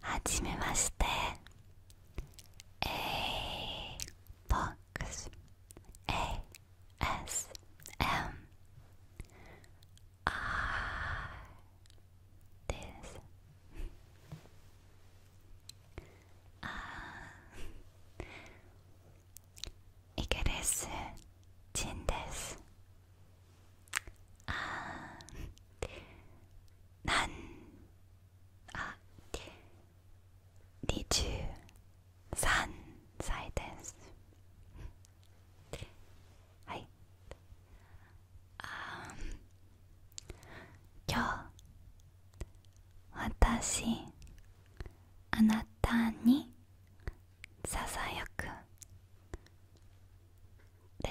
はじめましてえーボックス ASMR ですあイギリス人ですあなんあ23歳ですはいああ今日私あなたにささやくで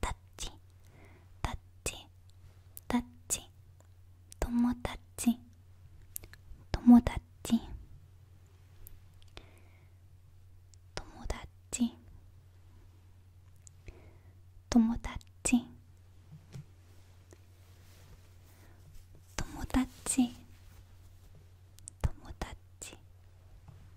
タッチタッチタッチ友達友達友達友達友達友達友達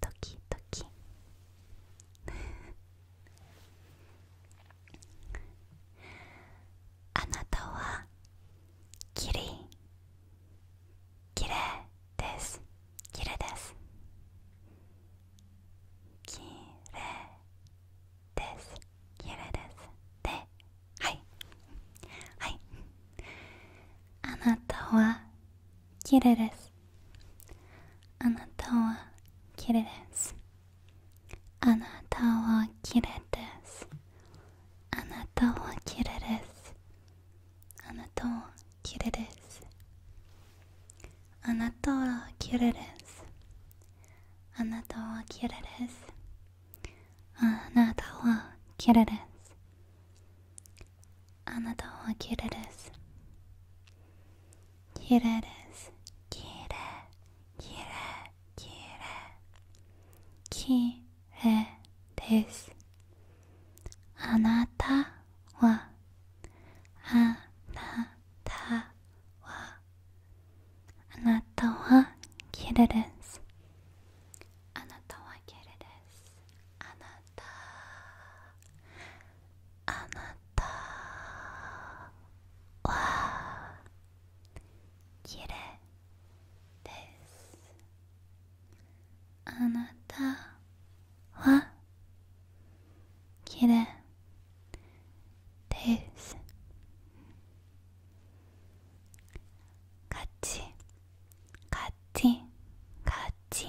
ドキドキあなたはキリきれいですきれいですきれいですきれいですではいはいあなたはきれですあなたはキ綺レですあなたは綺レですあなたは綺レですあなたはキ麗ですあなたは綺麗ですあなたは綺麗ですあなたは綺麗ですあなたは綺麗です綺麗です綺麗綺麗綺麗綺麗ですあなたはあなたはあなたは綺麗ですあなたは綺麗ですあなたあなたはきれいですあなたはきれですカチカチカチ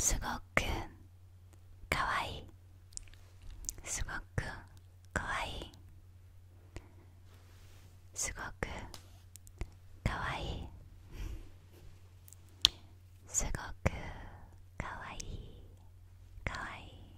すごくかわいいすごくかわいいすごくかわいいすごくかわいいかわいい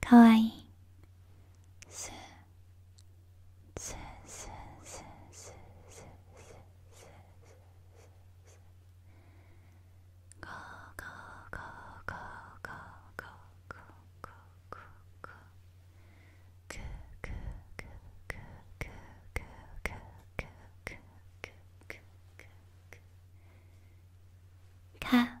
かわいいすすすすすすすゴーゴーゴーゴか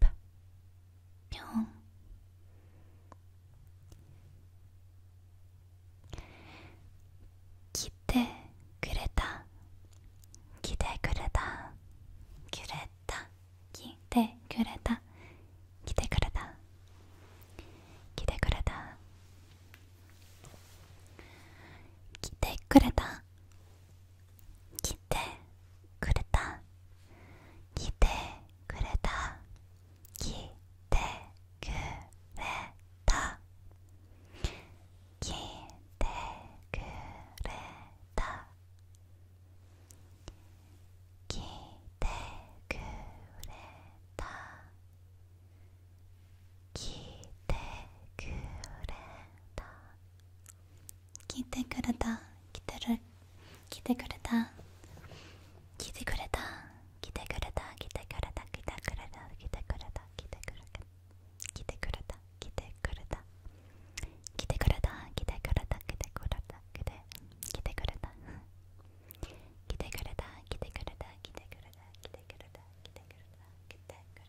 ぱぴょん来てくれた来てくれたくれた来てくれた来てくれた来てくれた来てくれた来てくれた来てくれた来てくれた来てくれた来てくれた聞いてくれた聞いてくれた聞いてる聞いてくれた聞いてくれた聞いてくれた聞いてくれた聞いてくれた聞いてくれた聞いてくれた聞いてくれた聞いてくれた聞いてくれた聞いてくれた聞いてくれた聞いて聞いてくれた聞いてくれた聞いてくれた聞いてくれた聞いてくれた聞いてくれた聞いてくれた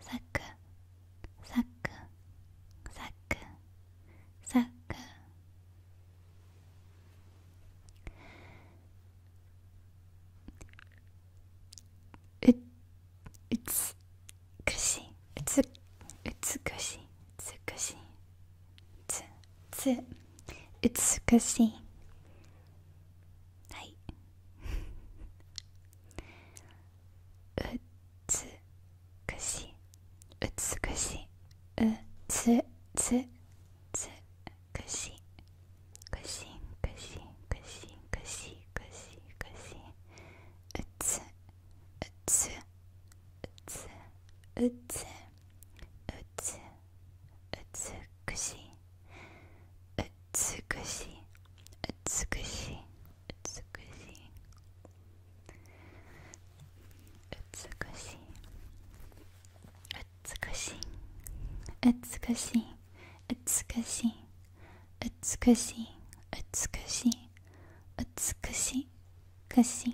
サックサックサックサックううつくしうつうつくしつくしつつうつくしはいうつくしうつくしうつつつくしくしくしくしくしくしくしうつうつうつうつうつうつくしうつくしうつくし美しい美しい美しい美しい美しい美しい美しい美しいくし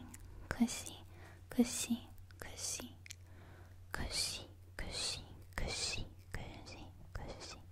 くしくしくしくしくしくしくしくしく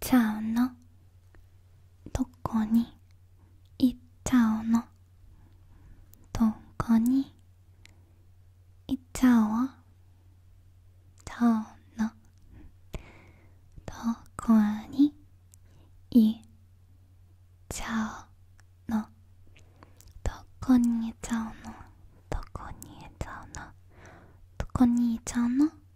ちゃうのどこにいっちゃうのどこにいっちゃおうちゃうのどこにいっちゃうのどこにいっちゃうのどこにいっちゃうのどこにいっちゃうの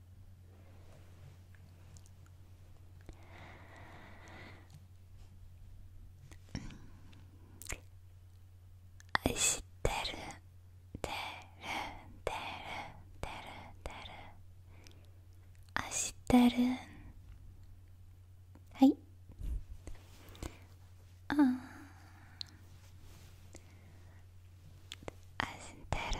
なうん知してるてるてるてるてるあしてるはいああ知ってる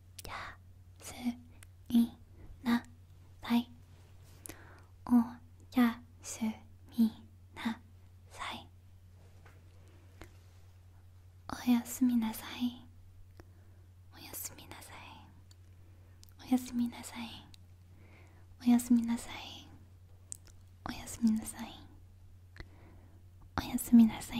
すみなさいおやすみなさいおやすみなさいおやすみなさいおやすみなさいおやすみなさいおやすみなさいおやすみなさい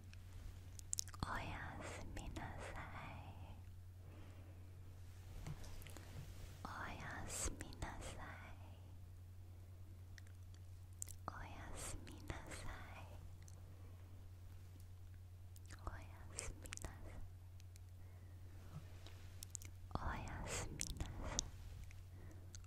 おやすみなさいおやすみなさいおやすみなさいおやすみなさいおやすみなさいおやすみなさい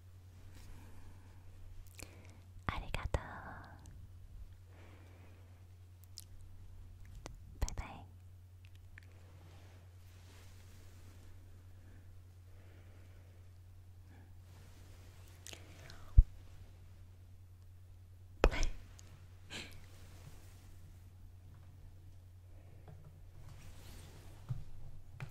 ありがとうバイバイ